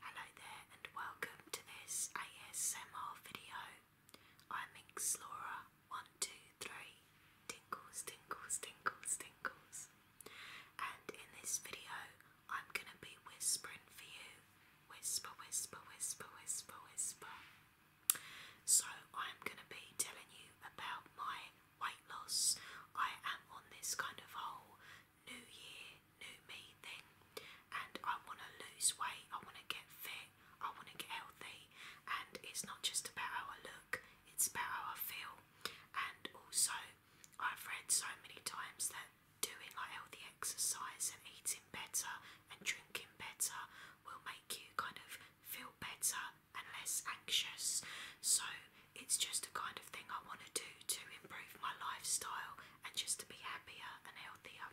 Hello there and welcome to this ASMR video. I'm Inkslora123, Tinkles, Tinkles, Tinkles, Tinkles. And in this video, I'm going to be whispering for you. Whisper, whisper, whisper, whisper, whisper. So, I'm going to be telling you about my weight loss. I am on this kind of whole new year, new me thing. And I want to lose weight, I want to get fit, I want to get healthy. And it's not just about how I look, it's about how I feel. And also, I've read so many times that doing like healthy exercise and eating better and drinking better will make you kind of feel better and less anxious. So it's just the kind of thing I want to do to improve my lifestyle and just to be happier and healthier.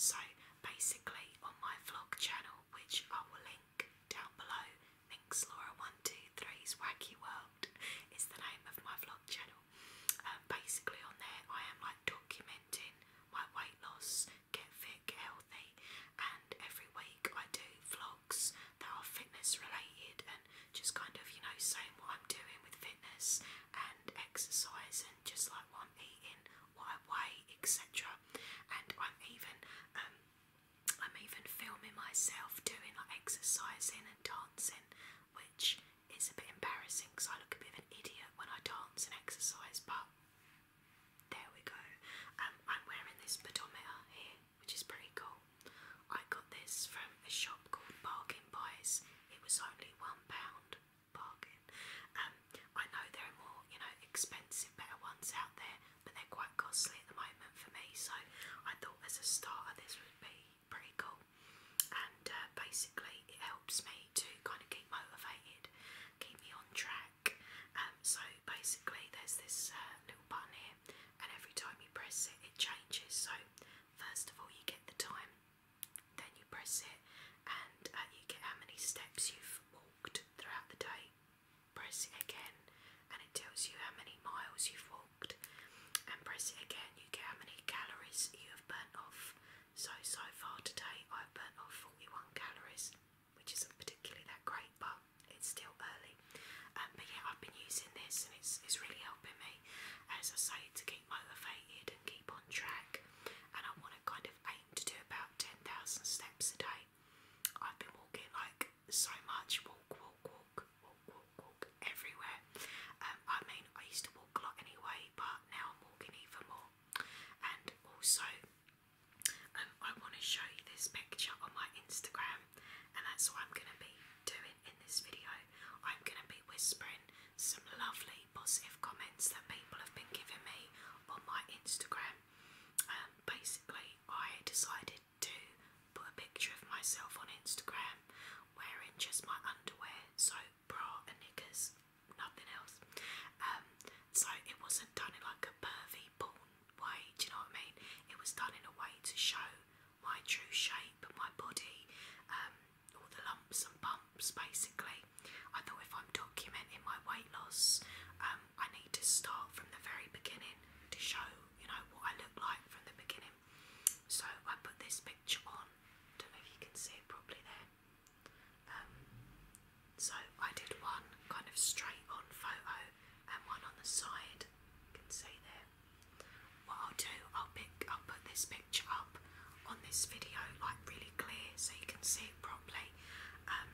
So, basically, on my vlog channel, which I will link down below, links Laura 123's Wacky World is the name of my vlog channel. Um, basically, on there, I am like documenting my weight loss, get fit, healthy, and every week I do vlogs that are fitness related and just kind of, you know, saying what I'm doing with fitness and exercise and just like what I'm eating, what I weigh, etc. And I'm even um, I'm even filming myself doing like exercising and dancing, which is a bit embarrassing because I look a bit of an idiot when I dance and exercise, but there we go. Um, I'm wearing this pedometer here which is pretty cool. I got this from a shop called Bargain Buys. It was only one pound bargain. Um, I know there are more, you know, expensive, better ones out there, but they're quite costly at the moment for me. So I thought as a starter, this would be pretty cool. And uh, basically, it helps me to kind of keep motivated, keep me on track. Um, so basically, there's this uh, little button here and every time you press it, it changes. So, first of all, you get the time, then you press it, and uh, you get how many steps you've walked throughout the day. Press it again, and it tells you how many miles you've walked. And press it again, you get how many calories you have burnt off. So, so far today, I've burnt off 41 calories, which isn't particularly that great, but it's still early. Um, but yeah, I've been using this and it's it's really helping me, as I say, to keep motivated and keep on track. And I want to kind of aim to do about ten thousand steps a day. I've been walking like so much, walk, walk, walk, walk, walk, everywhere. Um, I mean, I used to walk a lot anyway, but now I'm walking even more. And also, um, I want to show you this picture on my Instagram and that's what I'm going to be doing in this video. I'm going to be whispering some lovely positive comments that people have been giving me on my Instagram. Um, basically, I decided to put a picture of myself on Instagram wearing just my underwear, so bra and knickers, nothing else. Um, so it wasn't done in like a pervy way, do you know what I mean? It was done in a way to show my true shape, and my body, um, all the lumps and bumps basically. I thought if I'm documenting my weight loss, um, I need to start from the very beginning to show, you know, what I look like from the beginning. So I put this picture on, don't know if you can see it properly there. Um, so I did one kind of straight on photo and one on the side. You can see there. What I'll do, I'll pick, I'll put this picture up on this video like really clear so you can see it properly. Um,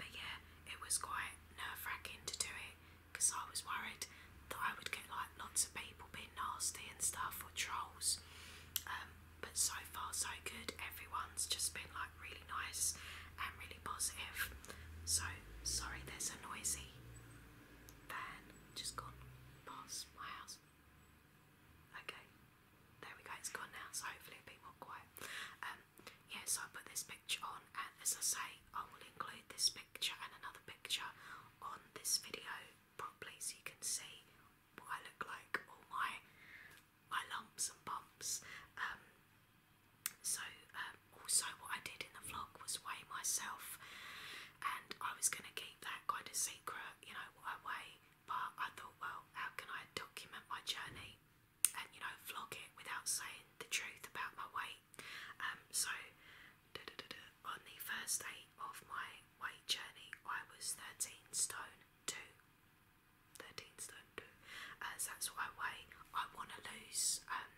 but yeah, it was quite nerve-wracking to do it because I was worried that I would get like lots of people being nasty and stuff or trolls. Um, but so far so good. Everyone's just been like really nice and really positive. So sorry, there's a noisy van just gone past my house. Okay, there we go. It's gone now, so hopefully it'll more quiet. Um, yeah, so I put this picture on, and as I say, I will include this picture and another picture on this video properly, so you can see what I look like, all my my lumps and bumps. Um, so, um, also, what I did in the vlog was weigh myself, and I was going to keep that kind of secret, you know, what I But I thought, well, how can I document my journey and, you know, vlog it without saying the truth about my weight? Um, so, on the first day of my weight journey, I was 13 stone 2. 13 stone 2, uh, that's what I weigh. I want to lose, um,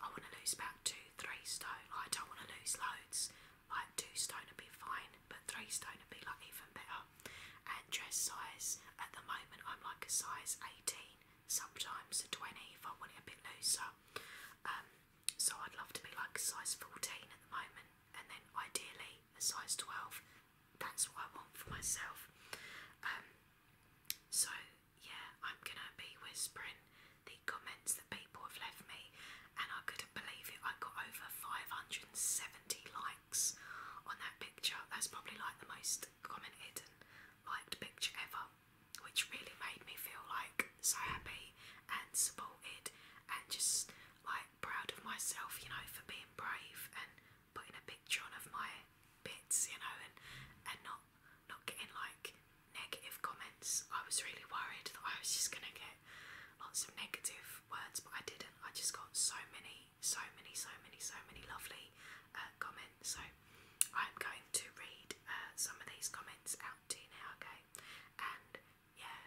I want to lose about 2, 3 stone, I don't want to lose loads, like 2 stone would be fine, but 3 stone would be like even better. And dress size, at the moment I'm like a size 18, sometimes a 20 if I want it a bit looser. Um, so I'd love to be like a size 14 at the moment, and then ideally a size 12. That's what I want for myself. Um, so, yeah, I'm gonna be whispering the comments that people have left me, and I couldn't believe it. I got over 570 likes on that picture. That's probably like the most commented and liked picture ever, which really made me feel like so happy and supported and just like proud of myself, you know, for being brave and putting a picture on of my bits, you know, and and not not getting like negative comments. I was really worried that I was just gonna get lots of negative words, but I didn't. I just got so many, so many, so many, so many lovely uh, comments. So I'm going to read uh, some of these comments out to you now, okay? And yeah,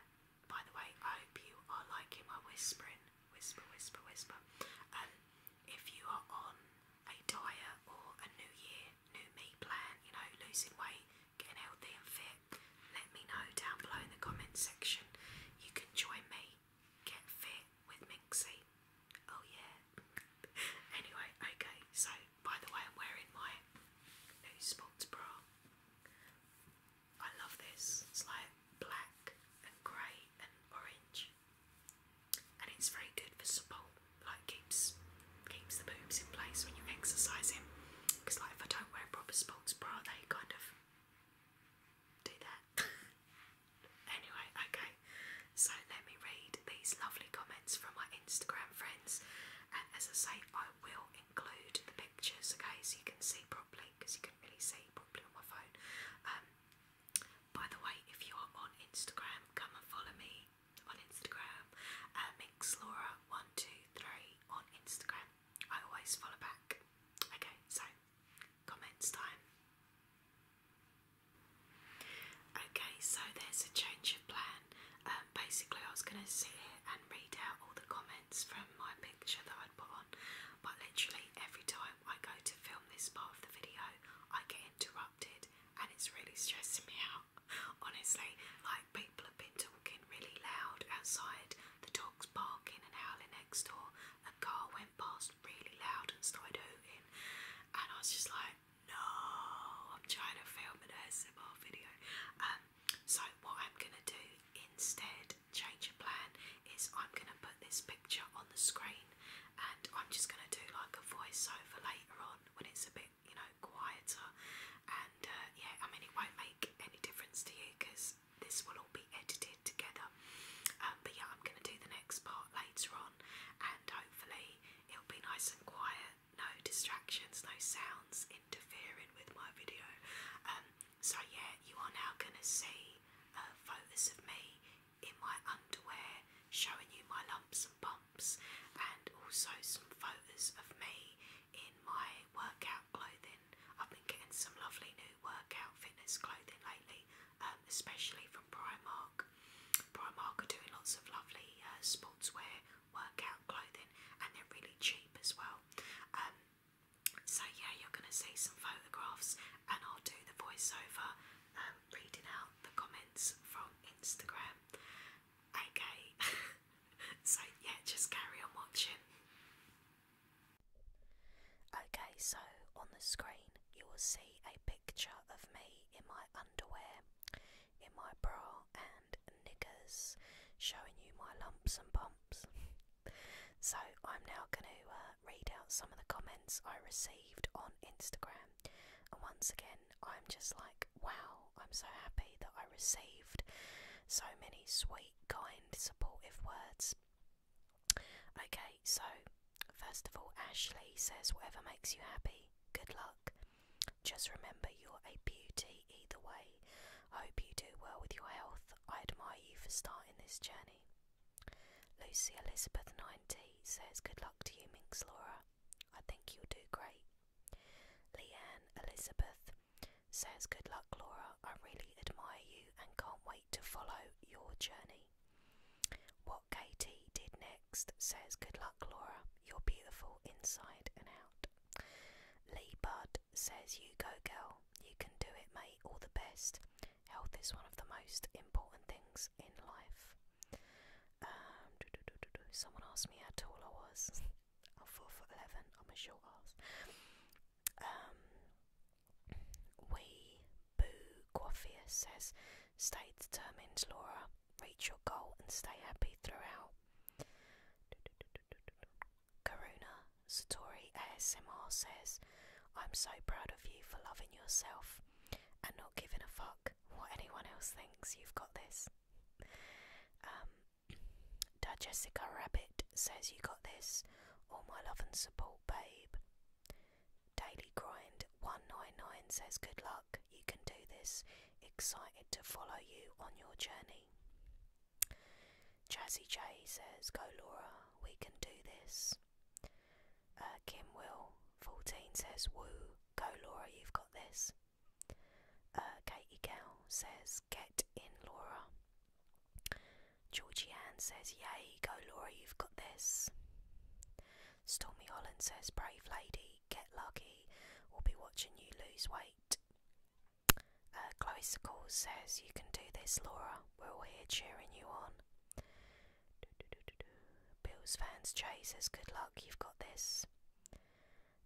by the way, I hope you are liking my whispering, whisper, whisper, whisper. Um, if you are on a diet or a new year, new me plan, you know, losing weight, getting healthy and fit, let me know down below in the comments section. You can join me, get fit with Minxie. Oh yeah. anyway, okay, so by the way, I'm wearing my new sports bra. I love this. It's like black and grey and orange and it's very good for support. Like keeps keeps the boobs in place when you're exercising. Because like if I don't wear proper sports bra, they kind of do that. anyway, okay. So let me read these lovely comments from my Instagram friends, and as I say, I will include the pictures, okay, so you can see properly because you could really see properly on my phone. Um, by the way, if you are on Instagram, come and follow me on Instagram at uh, mixlaura123 on Instagram. I always follow back. Okay, so comments time. Okay, so there's a change of plan. Um, basically, I was going to sit here and read out all the comments from my picture that I'd put on, but literally every time time I go to film this part of the video, I get interrupted and it's really stressing me out. Honestly, like people have been talking really loud outside, the dogs barking and howling next door, a car went past really loud and started hooting, and I was just like, no, I'm trying to film an ASMR video. Um, so what I'm gonna do instead change of plan is I'm going to put this picture on the screen and I'm just going to do like a voiceover later on when it's a bit, you know, quieter. And uh, yeah, I mean, it won't make any difference to you because this will all be edited together. Um, but yeah, I'm going to do the next part later on and hopefully it'll be nice and quiet. No distractions, no sounds interfering with my video. Um, so, yeah, you are now going to see uh, photos of me in my underwear showing you my lumps and bumps, and also some photos of me in my workout clothing. I've been getting some lovely new workout fitness clothing lately, um, especially from Primark. Primark are doing lots of lovely uh, sportswear workout clothing, and they're really cheap as well. Um, so yeah, you're going to see some photographs, and I'll do the voiceover, um, reading out the comments from Instagram. Okay, so yeah, just carry on watching. Okay, so on the screen you will see a picture of me in my underwear, in my bra and niggers, showing you my lumps and bumps. so I'm now going to. Uh, read out some of the comments I received on Instagram, and once again, I'm just like, wow, I'm so happy that I received so many sweet, kind, supportive words. Okay, so first of all, Ashley says, whatever makes you happy, good luck. Just remember you're a beauty either way. I hope you do well with your health. I admire you for starting this journey. Lucy Elizabeth 90 says, Good luck to you, Minx Laura. I think you'll do great. Leanne Elizabeth says, Good luck, Laura. I really admire you and can't wait to follow your journey. What Katie did next says, Good luck, Laura. You're beautiful inside and out. Lee Bud says, You go, girl. You can do it, mate. All the best. Health is one of the most important things in life. Um, Someone asked me how tall I was. I'm 4 foot 11. I'm a short ass. Um, we Boo Quaffia says, Stay determined, Laura. Reach your goal and stay happy throughout. Karuna Satori ASMR says, I'm so proud of you for loving yourself and not giving a fuck what anyone else thinks. You've got this. Um, da Jessica Rabbit says, You got this. All my love and support, babe. Daily Grind 199 says, Good luck. You can do this. Excited to follow you on your journey. Jazzy J says, Go Laura, we can do this. Uh, Kim Will, 14, says, Woo, go Laura, you've got this. Uh, Katie Gell says, Get in, Laura. Georgie Ann says, Yay, go Laura, you've got this. Stormy Holland says, Brave lady, get lucky, we'll be watching you lose weight. Uh, calls says, You can do this, Laura. We're all here cheering you on. Bills fans, Jay says, Good luck, you've got this.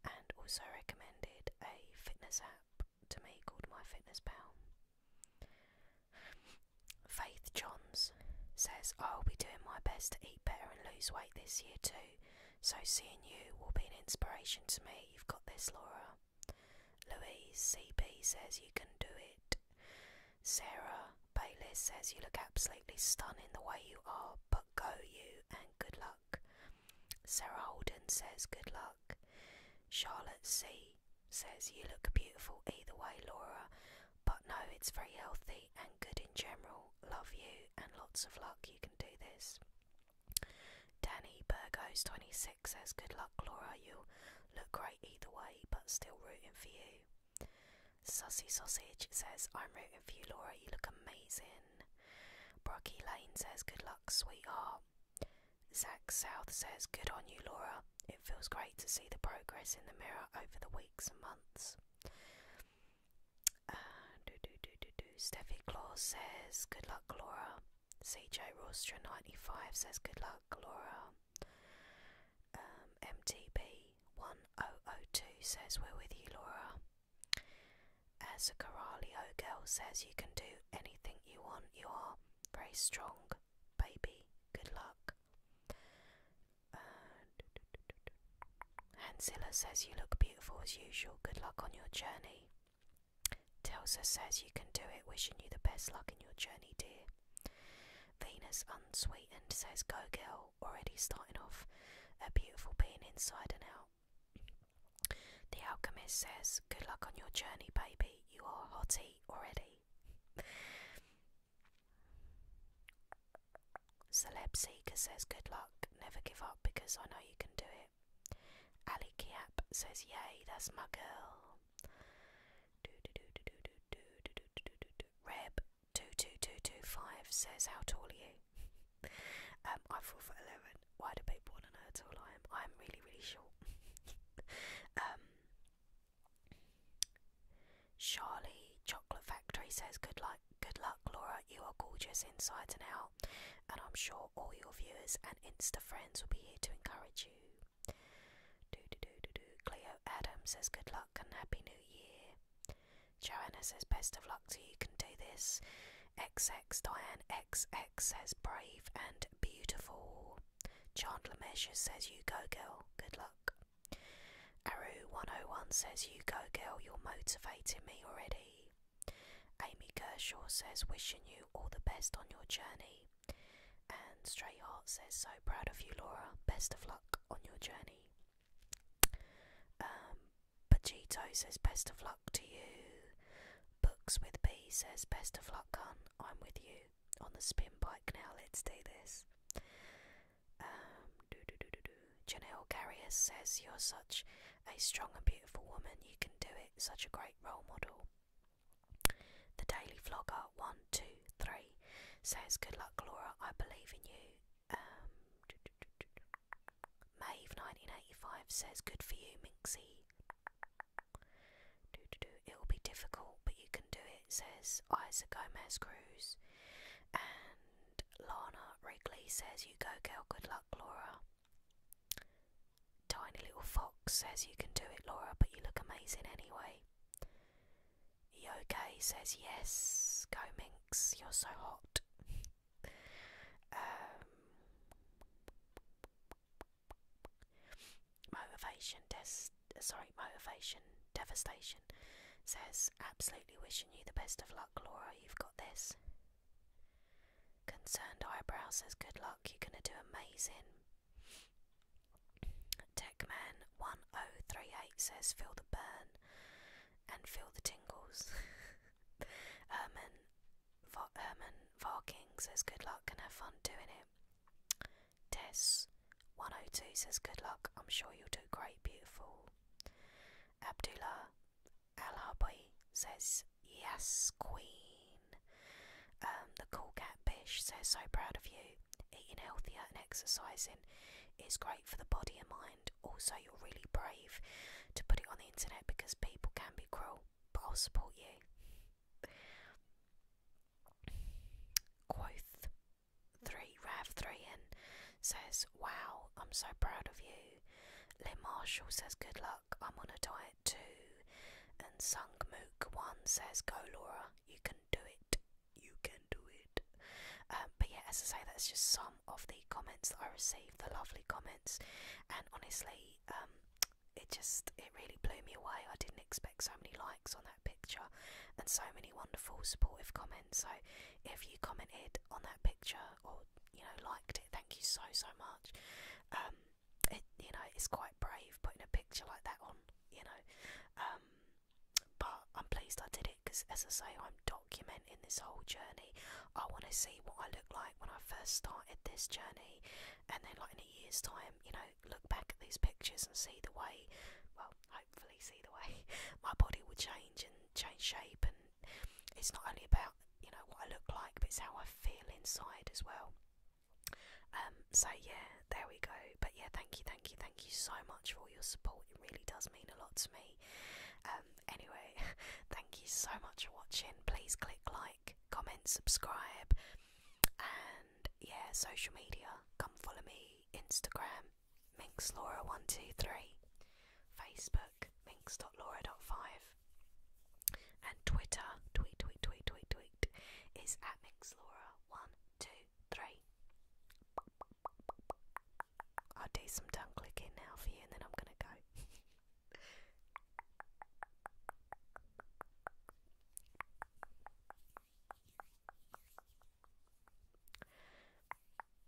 And also recommended a fitness app to me called My Fitness Pal. Faith Johns says, I'll be doing my best to eat better and lose weight this year too, so seeing you will be an inspiration to me. You've got this, Laura. Louise CB says you can do it. Sarah Bayliss says you look absolutely stunning the way you are, but go you and good luck. Sarah Holden says good luck. Charlotte C says you look beautiful either way, Laura, but no, it's very healthy and good in general. Love you and lots of luck. You can do this. Danny Burgos26 says, Good luck, Laura. you look great either way, but still rooting for you. Sussy Sausage says, I'm rooting for you, Laura. You look amazing. Brocky Lane says, Good luck, sweetheart. Zach South says, Good on you, Laura. It feels great to see the progress in the mirror over the weeks and months. do, do, do, do, do. Steffi Claw says, Good luck, Laura. CJ Rooster 95 says good luck, Laura. Um, MTB1002 says we're with you, Laura. As a Coralio girl says you can do anything you want, you are very strong, baby. Good luck. Hansilla says you look beautiful as usual. Good luck on your journey. Telsa says you can do it, wishing you the best luck in your journey, dear. Venus Unsweetened says, Go girl, already starting off a beautiful being inside and out. The Alchemist says, Good luck on your journey, baby. You are hottie already. Celeb Seeker says, Good luck, never give up because I know you can do it it. Ali Kiap says, Yay, that's my girl. Reb22225 says, How tall are you? um, I'm 4 foot 11. Why do people want to know how tall I am? I'm really, really short. um, Charlie Chocolate Factory says, Good luck, good luck, Laura. You are gorgeous inside and out and I'm sure all your viewers and Insta friends will be here to encourage you. Do do do do do. Cleo Adams says good luck and happy new year. Joanna says best of luck to you. can do this. X X Diane X X says brave and beautiful. Chandler Measure says you go girl. Good luck. Aru 101 says you go girl. You're motivating me already. Amy Kershaw says, wishing you all the best on your journey. And Straight Heart says, so proud of you, Laura. Best of luck on your journey. Um, Pachito says, best of luck to you. Books with B says, best of luck, hun. I'm with you on the spin bike now. Let's do this. Um, Janelle Carrier says, you're such a strong and beautiful woman, you can do it, such a great role model. The Daily Vlogger 123 says, Good luck, Laura, I believe in you. Um, Maeve 1985 says, Good for you, Minxie. It will be difficult, but you can do it, says Isaac Gomez Cruz. And Lana Wrigley says, You go, girl, good luck, Laura. Tiny little fox says you can do it, Laura, but you look amazing anyway. EOK says yes, go Minx, you're so hot. um, motivation des- sorry, motivation devastation says absolutely wishing you the best of luck, Laura. You've got this. Concerned eyebrows says, Good luck, you're going to do amazing. Techman1038 says, Feel the burn and feel the tingles. Herman, Va Herman Varking says, Good luck and have fun doing it. Tess102 says, Good luck, I'm sure you'll do great, beautiful. Abdullah Lrb says, Yes, Queen. Um, the cool catfish says, So proud of you. Eating healthier and exercising is great for the body and mind. Also, you're really brave to put it on the internet because people can be cruel, but I'll support you. Quoth 3 Rav 3 and says, Wow, I'm so proud of you. Lynn Marshall says, Good luck, I'm on a diet too. And Sung Mook1 says, Go Laura, you can do it. You can do it. Um, but yeah, as I say, that's just some of the comments that I received, the lovely comments. And honestly, um, it just it really blew me away. I didn't expect so many likes on that picture and so many wonderful supportive comments. So if you commented on that picture or you know liked it. Thank you so so much. Um, it you know it's quite brave putting a picture like that on. You know, um, but I'm pleased I did it because as I say, I'm documenting this whole journey. I want to see what I look like when I first started this journey, and then like in a year's time, you know, look back at these pictures and see the way. Well, hopefully, see the way my body will change and change shape and it's not only about you know what I look like but it's how I feel inside as well um, so yeah there we go but yeah thank you thank you thank you so much for all your support it really does mean a lot to me um, anyway thank you so much for watching please click like comment subscribe and yeah social media come follow me Instagram minxlaura123, Facebook, Five, and Twitter, tweet, tweet, tweet, tweet, tweet, is at minxlaura123. I'll do some tongue clicking now for you and then I'm going to go.